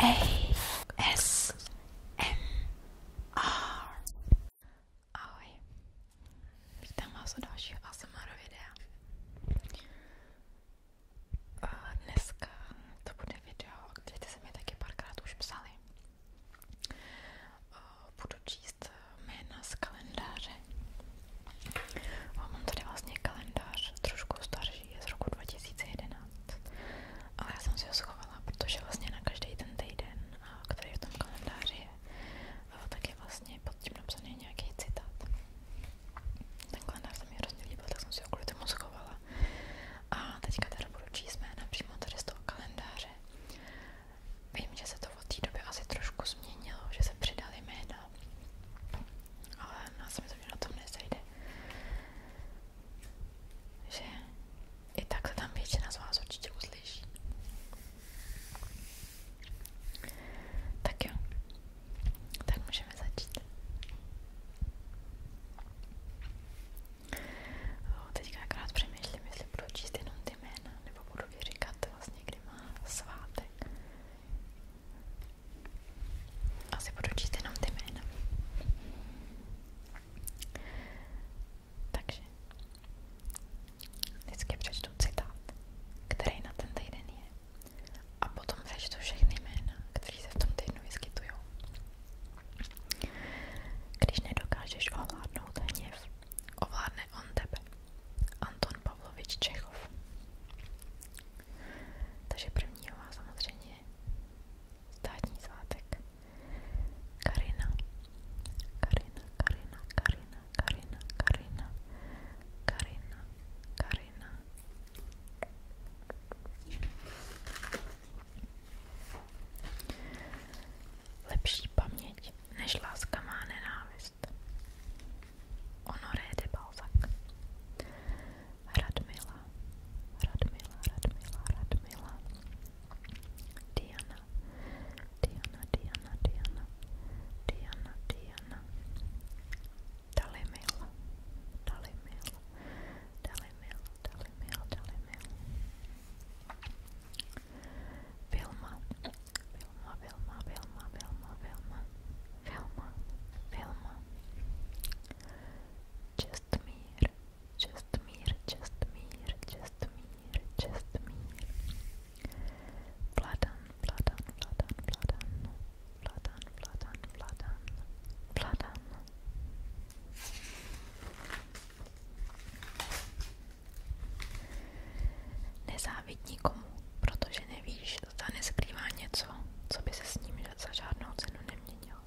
A S M R. Ahoj. Vítám vás u dalšího ASMR videa. A eh, dneska to bude video, kde jste se mi taky párkrát už psali. Eh, budu číst jména z kalendáře. Mám tady vlastně kalendář trošku starší nádraží je z roku 2011, ale já jsem si ho schovala, protože vlastně na každý ten týden, který v tom kalendáři je, tak je vlastně pod tím napsaný nějaký citát. Ten kalendář se mi hrozně líbil, tak jsem si ho kvůli tomu schovala. A teďka teda budu číst jména přímo tady z toho kalendáře. Vím, že se to od té doby asi trošku změnilo, že se přidali jména, ale já si myslím, že na tom nezajde že i takhle tam většina z vás určitě uslyší. Tak jo, tak můžeme začít. O, teďka akorát přemýšlím, jestli budu číst jenom ty jména, nebo budu i říkat vlastně, kdy má svátek. Asi budu číst jenom ty jména. Takže vždycky přečtu citát, který na ten týden je. A potom přečtu všechny jména, které se v tom týdnu vyskytují. Když nedokážeš ovládnout hněv, ovládne on tebe. Anton Pavlovič Čechov. Takže prvního má samozřejmě státní svátek. Karina, Karina, Karina, Karina, Karina, Karina, Karina, Karina. Lepší paměť než láska má nenávist. Honoré de Balzac. Radmila, Radmila, Radmila, Radmila, Diana, Diana, Diana, Diana, Diana, Diana, Dalimila, Dalimila, Dalimila, Dalimila, Dalimila, Vilma, Vilma, Vilma, Vilma, Vilma, Vilma, Vilma, Vilma, Vilma. čest mír, čest mír, čest mír, čest mír. Vladan, vladan, vladan, vladan, vladan, vladan, vladan, vladan. Nezávidní komu, protože nevíš, zda neskrývá něco, co by se s ním za žádnou cenu neměnilo.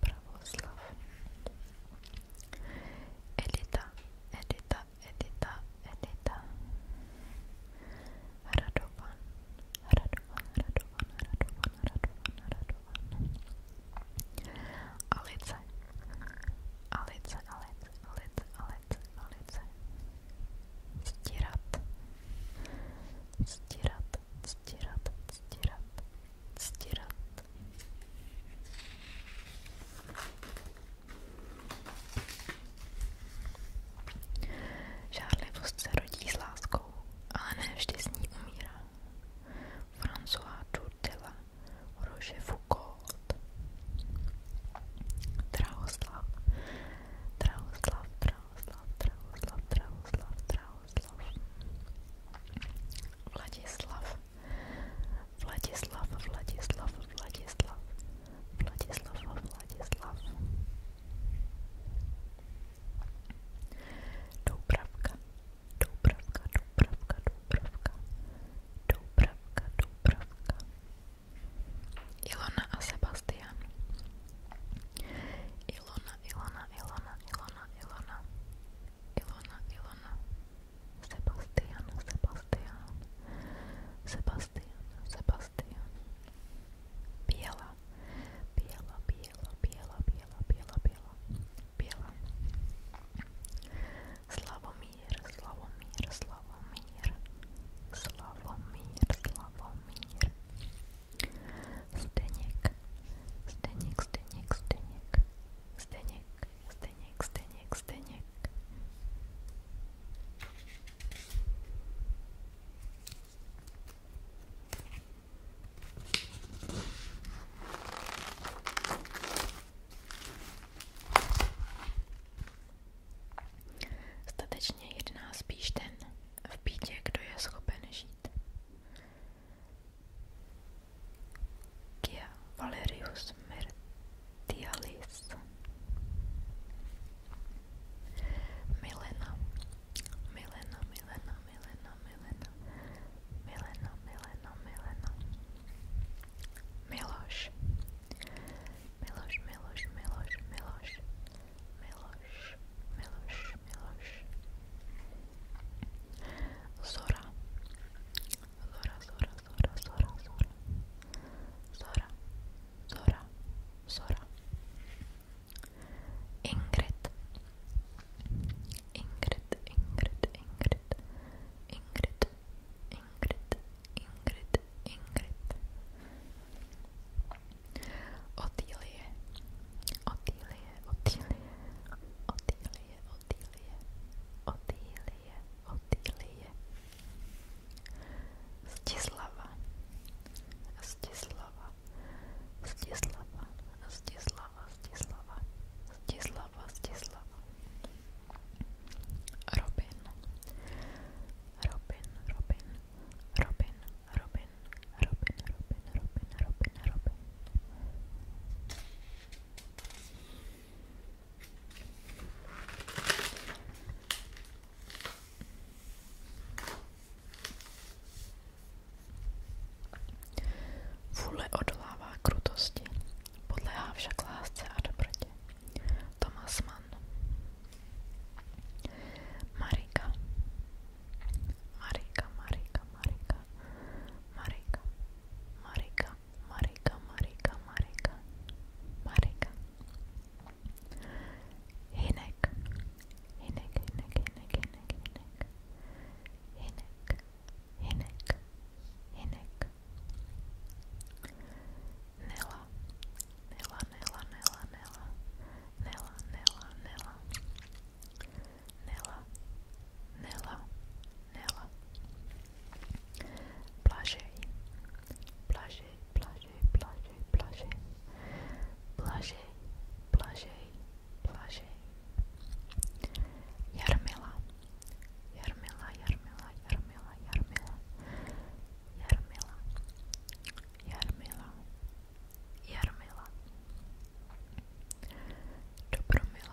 Pravoslav Edita, Edita, Edita, Edita Radovan, Radovan, Radovan, Radovan, Radovan, Radovan Alice, Alice, Alice, Alice, Alice, Alice Stirat, Stirat, Stirat, stírat. Žárlivost se rodí s láskou, ale ne vždy s ní umírá. François Durdila, Roger Foucault, Drahoslav, Drahoslav, Drahoslav, Drahoslav, Drahoslav, Drahoslav, Vladislav Vladislav, Vladislav, Vladislav, Vladislav, Vladislav. Doubravka, Doubravka, Doubravka, Doubravka, Doubravka, Doubravka. Ilona a Sebastian. Ilona, Ilona, Ilona, Ilona, Ilona. Ilona, Ilona, Sebastian, Sebastian, Sebastian, Sebastian, bijela, bijela, bijela, bijela, bijela, bijela, bijela, bijela, Slavomir, Slavomir, Slavomir, Slavomir, Slavomir, Zdeněk, Zdeněk, Zdeněk, Zdeněk, Zdeněk, Zdeněk, Zdeněk, Zdeněk. Statečně jedná spíš ten v bídě, kdo je schopen žít. Kia Valerius Mertialis Milena Milena Milena Milena Milena Milena Milena Milena Miloš Miloš Miloš Miloš Miloš Miloš Miloš Miloš Zora Zora, Zora, Zora, Zora, Zora Zora, Zora, Zora Ingrid Ingrid, Ingrid, Ingrid Ingrid, Ingrid, Ingrid, Ingrid Otýlie Otýlie, Otýlie, Otýlie, Otýlie, Otýlie, Otýlie. Zdislava, Zdislava, Zdislava, Zdislava, Zdislava, Zdislava, Zdislava. Robin, Robin, Robin, Robin, Robin, Robin, Robin, Robin, Robin, Robin. Vůle odolává krutosti, podléhá však lásce a dobrotě. Thomas Mann Marika Marika, Marika, Marika, Marika, Marika, Marika, Marika, Marika, Marika. Hinek, hinek, hinek, hinek, hinek, hinek, hinek, hinek, hinek. Nela, nela, nela, nela, nela, nela, nela, nela. nela, nela, nela, plagiei, plagiei, plagiei, plagiei, plagiei, plagiei, plagiei, plagiei, yarmela, yarmela, yarmela, yarmela, yarmela, yarmela, yarmela, yarmela, dobromila,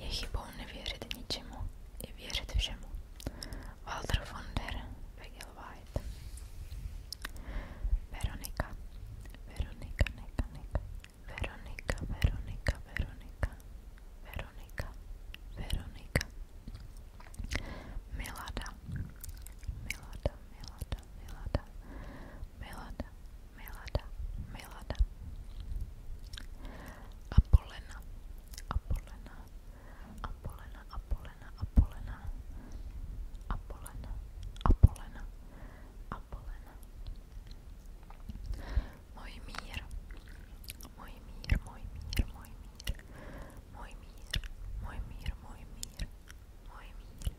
Je hipovne vjeriti ničemu i vjeriti všemu. Walter von der Wegelweit Veronika, Veronika, neka, neka. Veronika, Veronika, Veronika, Veronika, Veronika. Milada, Melada, Milada, Milada, Milada. Apolena, Apolena, Apolena, Apolena, Apolena, Apolena, Apolena, Apolena. Můj mír, můj mír, můj mír, můj mír, můj mír, můj mír, můj mír, můj mír.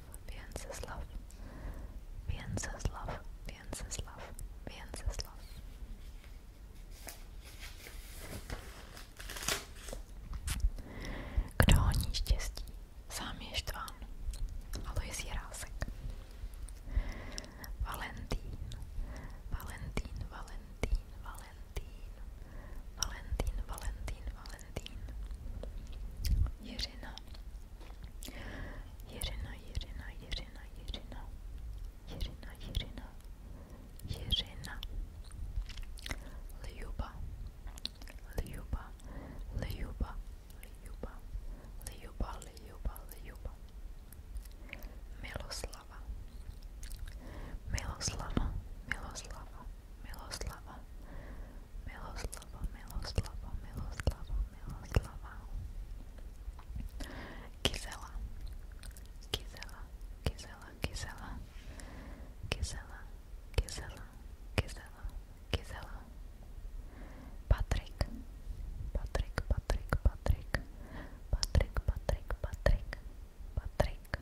Wenceslav, Wenceslav, Wenceslav, Wenceslav. Kdo honí štěstí? Sám je štván, Alois Jirásek. Valentín, Valentín, Valentín, Valentín, Valentín, Valentín, Valentín, Valentín, Jiřina, Jiřina, Jiřina, Jiřina, Jiřina, Jiřina, Jiřina, Jiřina, Ljuba, Ljuba, Ljuba, Ljuba, Ljuba, Ljuba, Ljuba, Miloslava, Miloslava, Miloslava, Miloslava, Miloslava, Miloslava, Miloslava, Miloslava. Kizela, Kizela, Kizela, Kizela, Kizela, Kizela, Kizela, Kizela. Patrik, Patrik, Patrik, Patrik, Patrik, Patrik, Patrik, Patrik.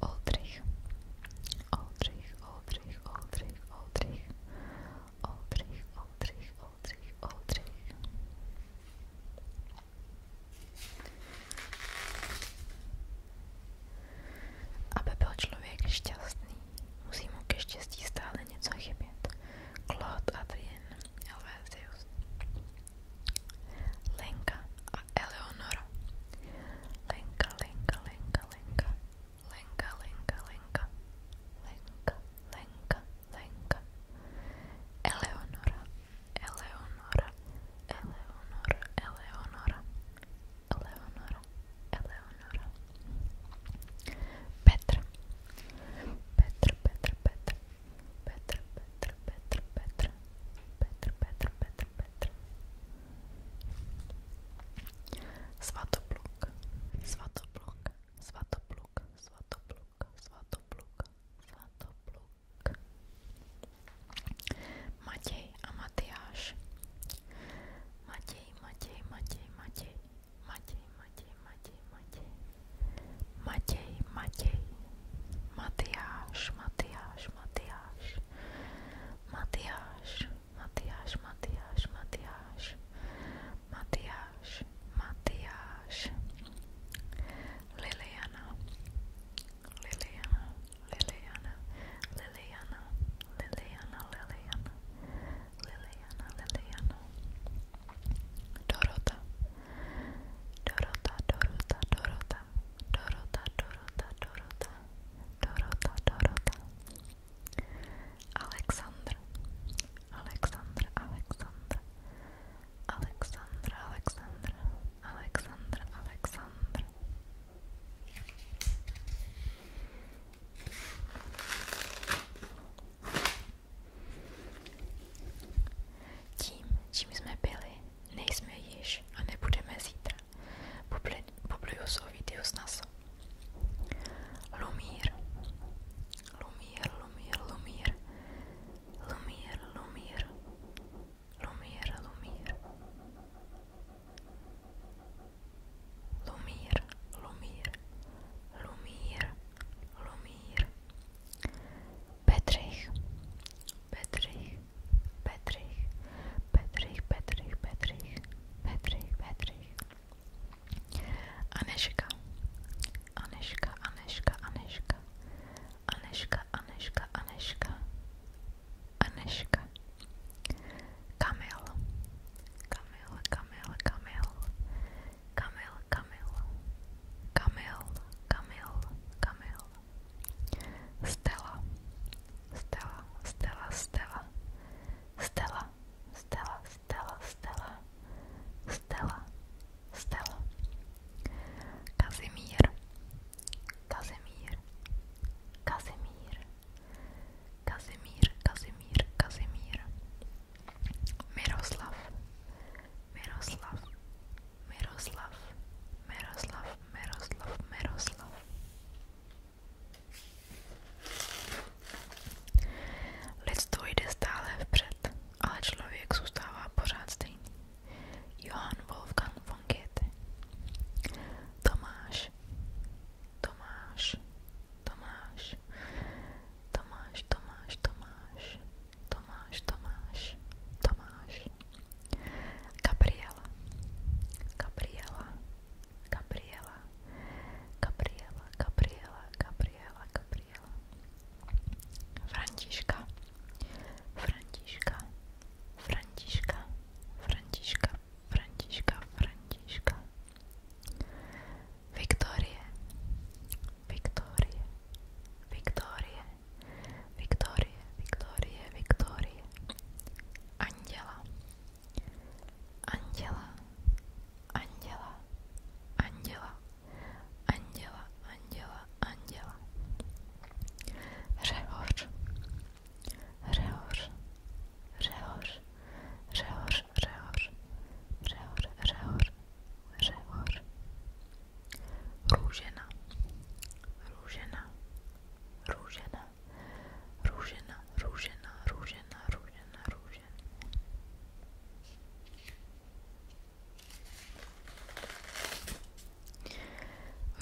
Oldřich, Oldřich, Oldřich, Oldřich, Oldřich, Oldřich, Oldřich, Oldřich, Oldřich. Aby byl člověk šťastný, musí mu ke štěstí stále něco chybět. Claude Adrien Helvézius Lenka Eleonora Lenka Lenka Lenka Lenka Lenka Lenka Lenka Lenka Lenka Lenka Eleonora Eleonora Eleonora Eleonora Eleonora Eleonora Petra Petra Petra Petra Petra Petra Petra Petra Petra Petra Petr, Petr. Svatopluk, svatopluk, svatopluk, svatopluk, svatopluk, svatopluk. Matěj a Matyáš. Matěj, Matěj, Matěj, Matěj. Matěj, Matěj, Matěj, Matěj. Matěj, Matěj. Matyáš, Matyáš, Matyáš. Matthias, Matthias, Matthias, Matthias, Matthias, Matthias, Liliana, Liliana, Liliana, Liliana, Liliana, Liliana, Liliana, Liliana, Dorota, Dorota, Dorota, Dorota, Dorota, Dorota, Dorota, Dorota, Dorota, Alexandr, Alexandr, Alexandr, Alexandr, Alexandr, Alexandr, Alexandr. Tím, čím jsme byli, nejsme již a nebudeme zítra. popljusov videosnas. Lumir. Lumir, Lumir, Lumir. Lumir, Lumir. Lumir, Lumir. Lumir, Lumir. Lumir, Lumir. Petrich. Petřich, Petřich, Petřich, Petřich, Petřich, Petřich. Aneška, Aneška, Aneška, Aneška, Aneška, Aneška, Aneška, Aneška. Kamil, Kamil, Kamil, Kamil, Kamil, Kamil, Kamil, Kamil, Kamil. Stella, Stella, Stella, Stella, Stella, Stella, Stella, Stella, Stella, Stella, Kazimír, Kazimír, Kazimír, Kazimír, Kazimír, Kazimír, Miroslav, Miroslav, Miroslav, Miroslav, Miroslav, Miroslav. Lidstvo jde stále vpřed, ale člověk zůstává pořád stejný. Johann Wolfgang von Goethe Tomáš, Tomáš, Tomáš, Tomáš, Tomáš, Tomáš, Tomáš, Tomáš, Tomáš. Gabriela, Gabriela, Gabriela, Gabriela, Gabriela, Gabriela, Gabriela, Františka, Františka, Františka, Františka, Františka, Františka, Viktorie, Viktorie, Viktorie, Viktorie, Viktorie, Viktorie, Anděla, Anděla, anděla, anděla, anděla, anděla, anděla. Řehoř, řehoř, řehoř, řehoř, řehoř, řehoř, řehoř, řehoř. Růžena, růžena, růžena, Růžena, růžena, růžena, růžena, růžena.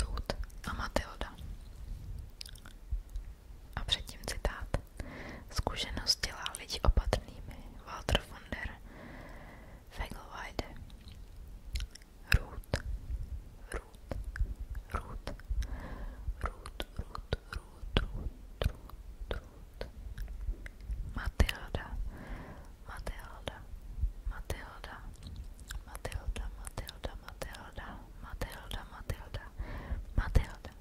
Ruth a Matilda. A předtím citát. Zkušenost dělá lidi opatrnými. Walter von der Fegelweide. Ruth, Ruth, Ruth, Ruth, Ruth, Ruth, Ruth, Ruth, Matilda, Matilda, Matilda, Matilda, Matilda, Matilda, Matilda, Matilda, Matilda,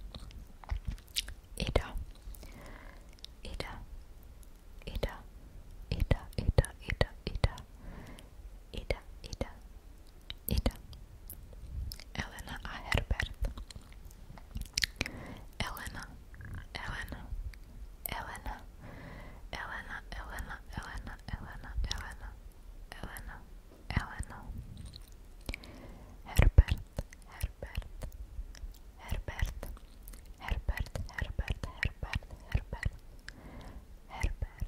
Ida, Ida, Ida, Ida, Ida, Ida, Ida. Ida, Ida, Ida. Elena A. Herbert. Elena, Elena, Elena, Elena, Elena, Elena, Elena, Elena, Elena, Elena. Herbert, Herbert, Herbert, Herbert, Herbert, Herbert, Herbert, Herbert.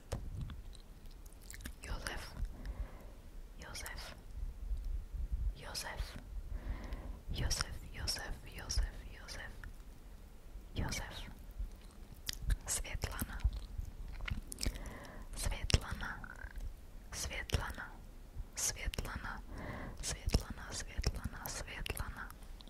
Richard Josef Josef Josef Josef Josef Josef Josef Josef Světlana Světlana Světlana Světlana Světlana Světlana Světlana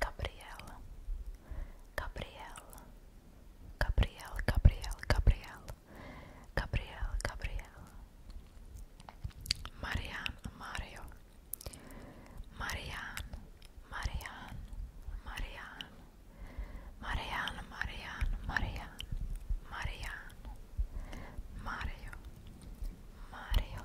Gabriel, Gabriel, Gabriel, Gabriel, Gabriel, Gabriel, Gabriel, Marian, Mario, Marian, Marian, Marian, Marian, Marian, Mario, Mario, Mario.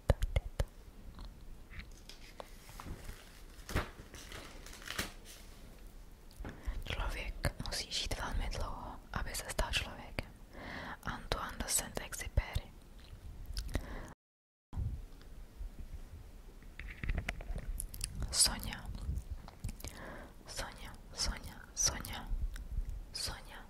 tady to. Člověk musí žít velmi dlouho, aby se stal Antoine Saint-Exupéry Sonja Sonja, Sonja, Sonja, Sonja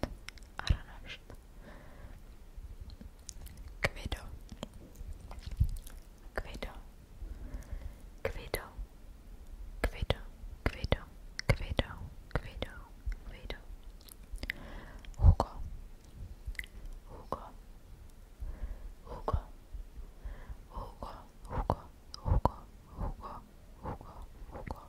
Aranšt, aranšt. Kvido, kvido, kvido, kvido, kvido, kvido, kvido, kvido. Hugo, Hugo, Hugo, Hugo, Hugo, Hugo, Hugo, Hugo, Hugo,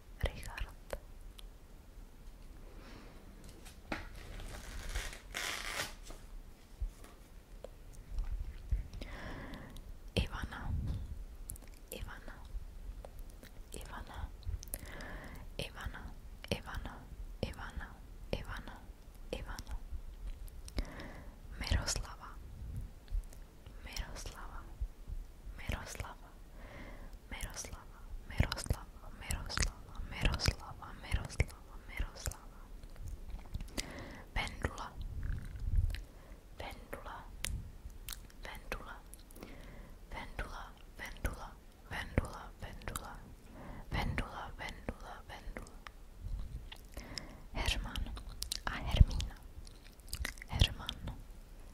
Richard. Ivana, Ivana, Ivana, Ivana, Ivana, Ivana, Ivana, Miroslava, Miroslava, Miroslava, Miroslava, Miroslava, Miroslava, Miroslava, Miroslava, Miroslava. Pendula, Pendula, Pendula, Pendula, Pendula, Pendula, Pendula, Pendula, Pendula, Pendula. Herman a Hermína. Herman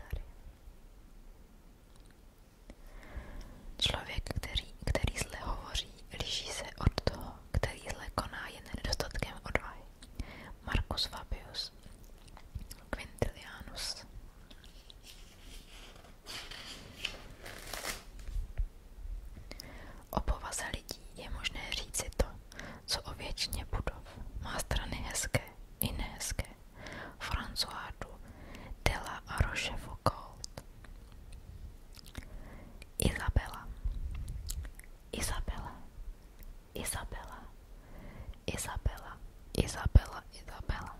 dary. Člověk, který, který zle hovoří, liší se od toho, který zle koná jen nedostatkem odvahy. Marcus Fabius Quintilianus O povaze lidí je možné říci to, co o většině budov. Má strany hezké i nehezké. François de la Rochefoucauld. Izabela. Izabela. Izabela. Izabela. Izabela. Izabela.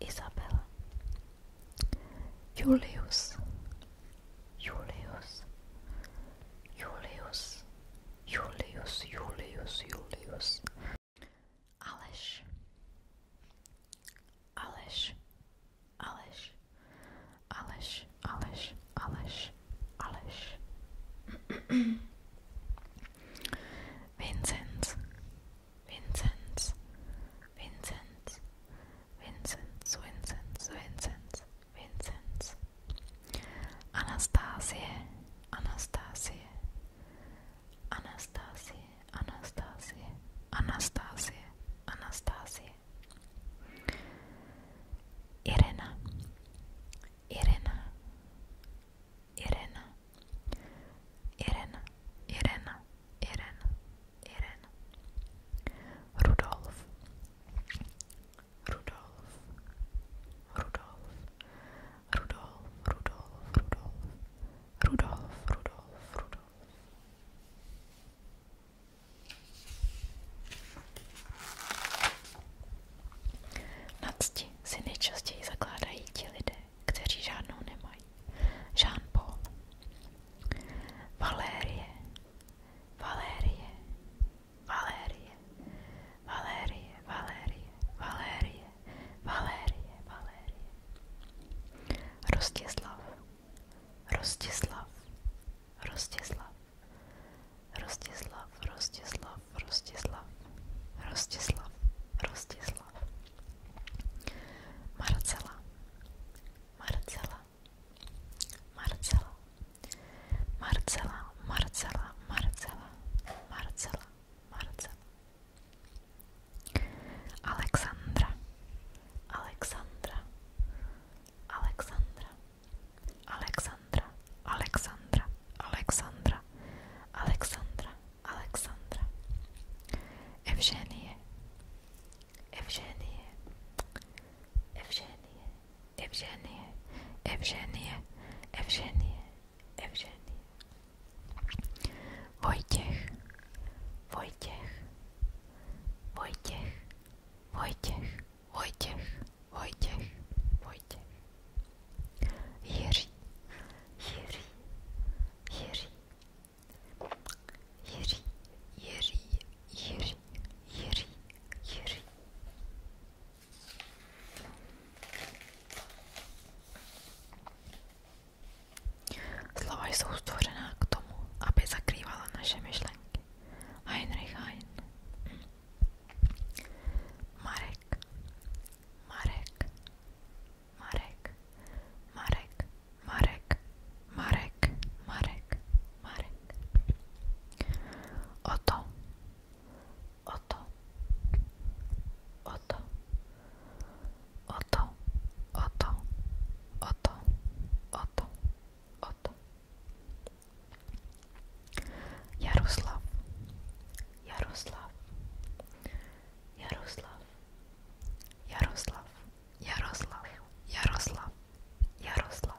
Izabela. Julius. Julius. Julius. Julius, Julius, Julius. Alice, Alice, Alice, Alice, Alice, Alice, Alice. Vincenz. Vincenz. Vincenz. Vincenz, Vincenz, Vincenz, Vincenz. Anastázie, Anastázie, Anastázie, Anastázie, Anastázie, Anastázie. Irena, Irena, Irena, Irena, Irena, Irena, Irena. Rudolf, Rudolf, Rudolf, Rudolf, Rudolf, Rudolf, Rudolf, Rudolf, Rudolf. Na cti si nejčastěji zakládají ti lidé, kteří žádnou nemají. Jean Paul, Valérie, Valérie, Valérie, Valérie, Valérie, Valérie, Valérie, Valérie. Rostislav, Rostislav, Rostislav, Rostislav, Rostislav, Rostislav, Rostislav, Rostislav. Marcela, Marcela, Marcela. Marcela, Marcela, Marcela, Marcela, Marcela. Alexandra, Alexandra, Alexandra, Alexandra, Alexandra, Alexandra, Alexandra, Alexandra. Evženie, Evženie, Evženie, Evženie, Evženie, Evženie, Evženie, Vojtěch, Vojtěch, Vojtěch, Vojtěch, Vojtěch, Vojtěch, Vojtěch, Jiří, Jiří, Jiří, Jiří, Jiří, Jiří, Jiří, Jiří, Slova jsou stvořená k tomu, aby zakrývala naše myšlenky. Heinrich Hein. Marek. Marek. Marek. Marek. Marek. Marek. Marek. Marek. Oto o to, o to, o to, o to, o to, o to, o to. Jaroslav, Jaroslav, Jaroslav, Jaroslav, Jaroslav, Jaroslav, Jaroslav,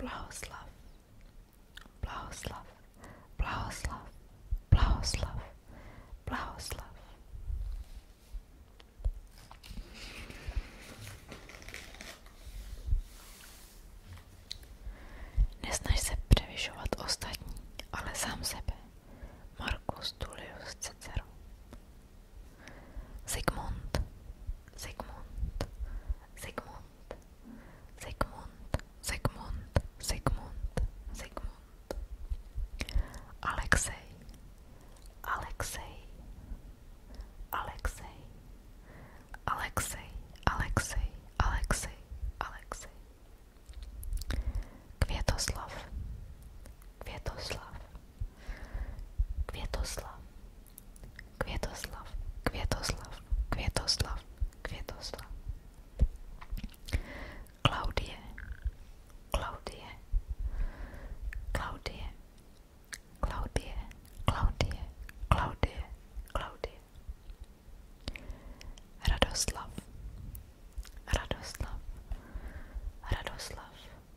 Blahoslav, blahoslav, blahoslav, blahoslav, blahoslav. Nesnaž se převyšovat ostatní, ale sám sebe. Markus Tullius Cicero Sigmund, Sigmund, Sigmund, Sigmund, Sigmund, Sigmund, Sigmund, Alexei, Alexey, Alexey, Alexey, Alexey, Alexei, Alexei. Kvietoslav, Kvietoslav, Kvietoslav, Květoslav, Květoslav, Květoslav, Květoslav. Klaudie, Klaudie, Klaudie, Klaudie, Klaudie, Klaudie, Klaudie. Radoslav, Radoslav, Radoslav,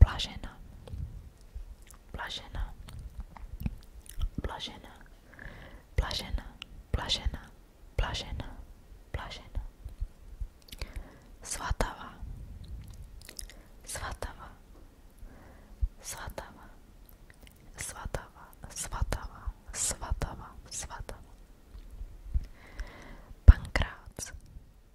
Blažena, blažena, blažena, blažena, blažena, blažena, blažena. Svatava, svatava, svatava, svatava, svatava, svatava, svatava. Pankrác,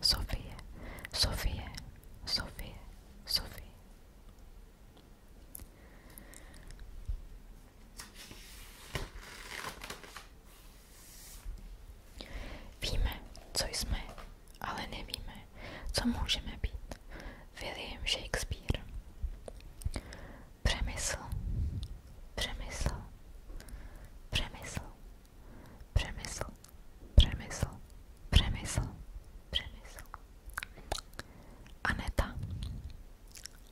Sofie, Sofie, Sofie, Sofie. Víme, co jsme, ale nevíme, co můžeme být. William Shakespeare. Přemysl, přemysl, přemysl, přemysl. Přemysl, Přemysl, Přemysl. Aneta,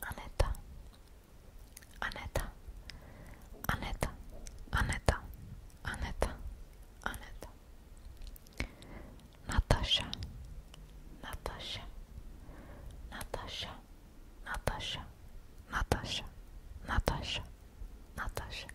Aneta, Aneta, Aneta, Aneta, Aneta, Aneta. Nataša, Nataša, Nataša, Nataša, Nataša, Nataša, Nataša.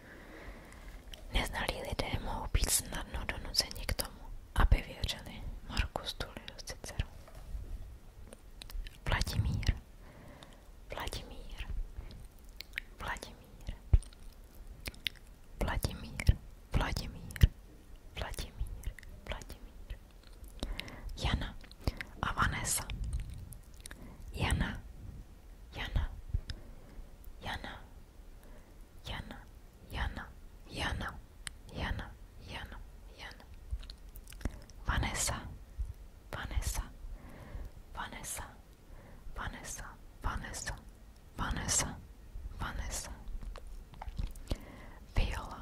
Neznalí lidé mohou být snadno donuceni k tomu, aby věřili Marku Tullius Cicero. Vladimír, Vladimír, Vladimír, Vladimír, Vladimír, Vladimír, Vladimír, Jana a Vanessa, Jana, Jana, Jana, Gärna, gärna, gärna, gärna, gärna, gärna. Vanessa, Vanessa, Vanessa, Vanessa, Vanessa, Vanessa, Vanessa. Viola,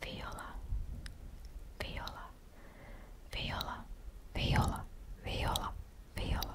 Viola, Viola, Viola, Viola, Viola, Viola,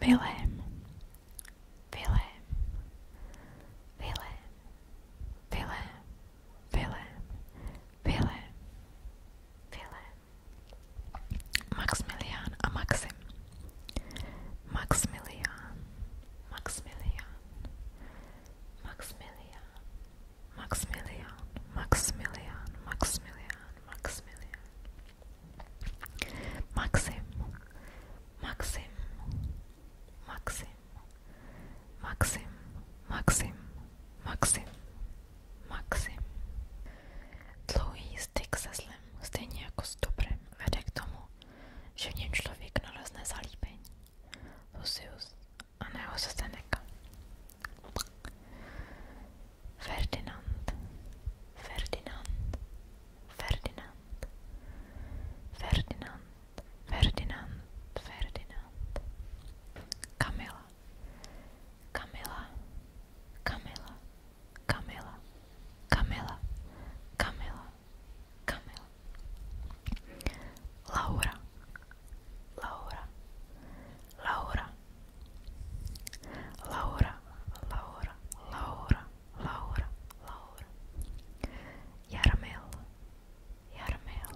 Wilhelm, Wilhelm, Wilhelm, Wilhelm, Wilhelm, Wilhelm, Wilhelm, Maximilian, a Maxim, Maximilian, Maximilian, Maximilian, Maximilian, Maximilian, Maximilian, Maximilian. Maxim, Maxim, Maxim, Maxim, Maxim, Maxim, Maxim. Dlouhý styk se zlem, stejně jako s dobrem, vede k tomu, že v něm člověk nalezne zalíbení. Lucius a Neo Seneca. Ferdinand, Ferdinand, Ferdinand, Ferdinand, Ferdinand, Ferdinand, Kamila, Kamila, Kamila, Kamila, Kamila, Kamila, Kamila, Laura, Laura, Laura. Laura, Laura, Laura, Laura, Laura. Jarmel, Jarmel,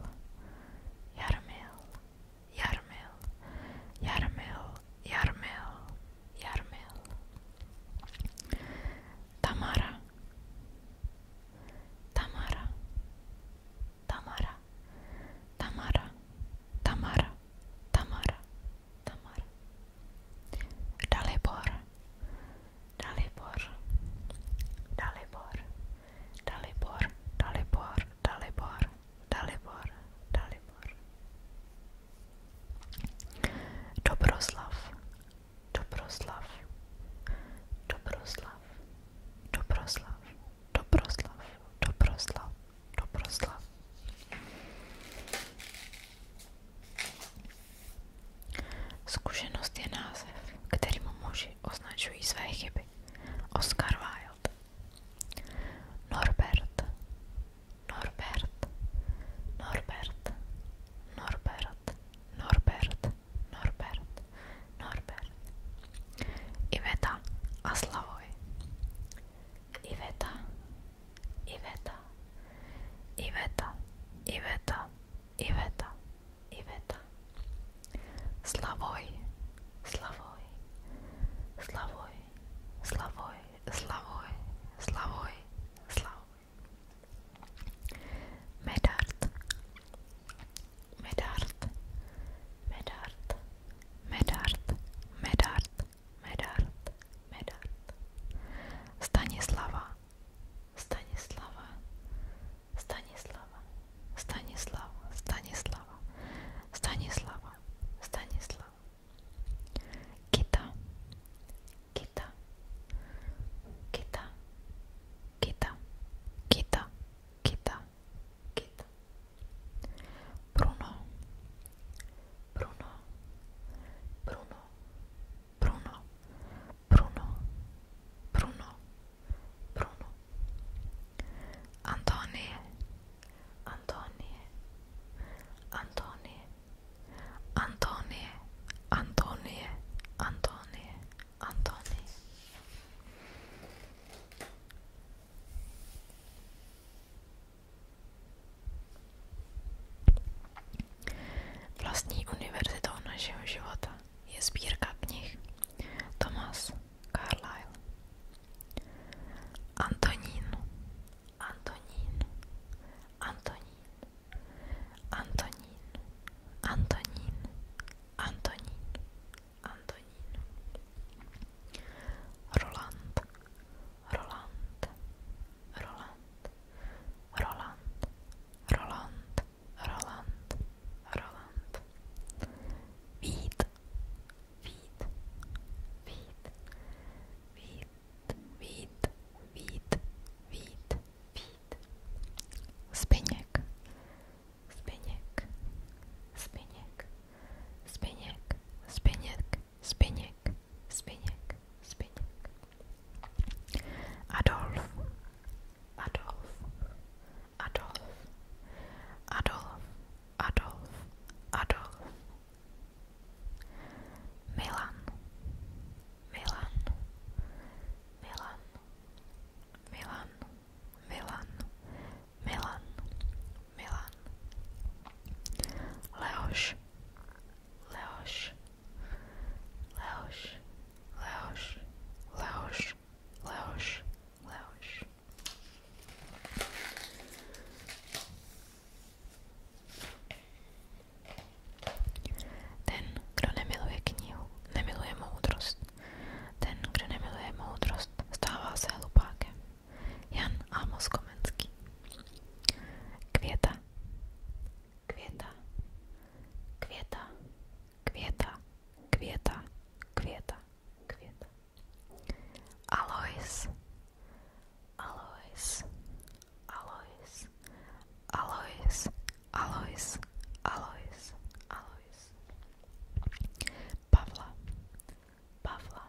Jarmel, Jarmel, Jarmel, Jarmel, Jarmel. Tamara, Tamara, Tamara, Tamara, Tamara, Tamara, Tamara. Dalibor. Dalibor. Dalibor. Dalibor. Dalibor. Dalibor. Dalibor. Dalibor. Dobroslav. Dobroslav. Dobroslav. Dobroslav. Dobroslav. Dobroslav do proslav. Zkušenost je název, kterým muži označují své chyby. Oscar Wilde Norbert Norbert Norbert Norbert Norbert Norbert Norbert Iveta a Slavoj Iveta Iveta, Iveta, Iveta, Iveta, Iveta. Slavoj, Slavoj, Slavoj, Slavoj, Slavoj, Slavoj, Slavoj. Medard, Medard, Medard, Medard, Medard, Medard, Medard, Stanislava, Stanislava, Stanislava, Stanislava, Stanislava, Stanislava, Stanislava, Kita, Kita, Kita, Kita, Kita, Kita, Kita, Bruno, Bruno, Bruno, Bruno, Bruno, Bruno, Bruno, Antonie, Antonie, Antonie, Antonie, Antonie, Antonie, Antonie. Vlastní univerzitou našeho života je sbírka knih Thomas Carlyle. Antonín, Antonín, Antonín, Antonín, Antonín, Antonín, Antonín. Roland, Roland, Roland, Roland, Roland, Roland, Roland. Vít, Vít, Vít, Vít, Vít, Vít, Vít, Vít. Zbyněk, Zbyněk, Zbyněk, Zbyněk, Zbyněk, Zbyněk, Zbyněk, Zbyněk. Adolf, Adolf, Adolf, Adolf, Adolf, Adolf. Milan, Milan, Milan, Milan, Milan, Milan, Milan Leoš Leoš Leoš Leoš Leoš Leoš Leoš Ten, kdo nemiluje knihu, nemiluje moudrost. Ten, kdo nemiluje moudrost, stává se hlupákem. Jan Amos Komenský Květa Květa Květa Květa Květa Květa Květa Alois Alois Alois Alois Alois Alois Alois Pavla Pavla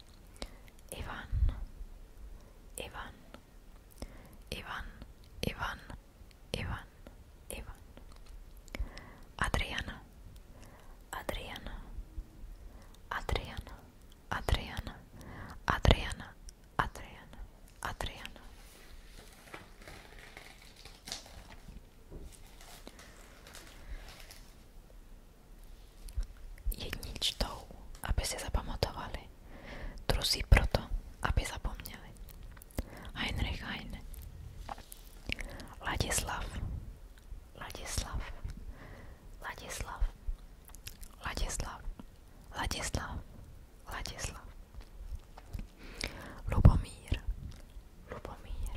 Ivan, Ivan, Ivan, Ivan, Ivan, Ivan. Adriana, Adriana, Adriana, Adriana, Adriana, Adriana, Adriana. Jedni čtou, aby si zapamatovali, druzí proto, aby zapomněli. Heinrich Heine Ladislav Ladislav Ladislav Ladislav Ladislav Ladislav Lubomír Lubomír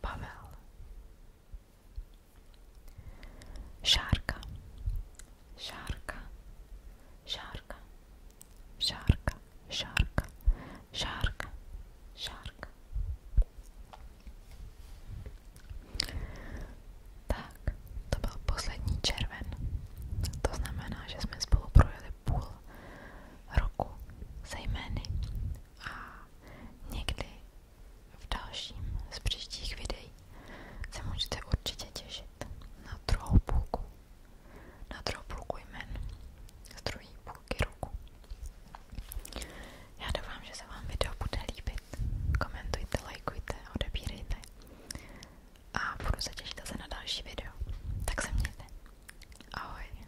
Pavel Šárka Šárka Šárka Šárka Šárka Šárka Šárka Tak, to byl poslední červen. To znamená, že jsme spolu projeli půl roku se jmény a někdy v dalším z příštích videí se můžete určitě těšit na druhou půlku, na druhou půlku jmen z druhé půlky roku. Já doufám, že se vám video bude líbit. Komentujte, lajkujte, odebírejte a budu se těšit zase na další video. Tak se mějte. Ahoj.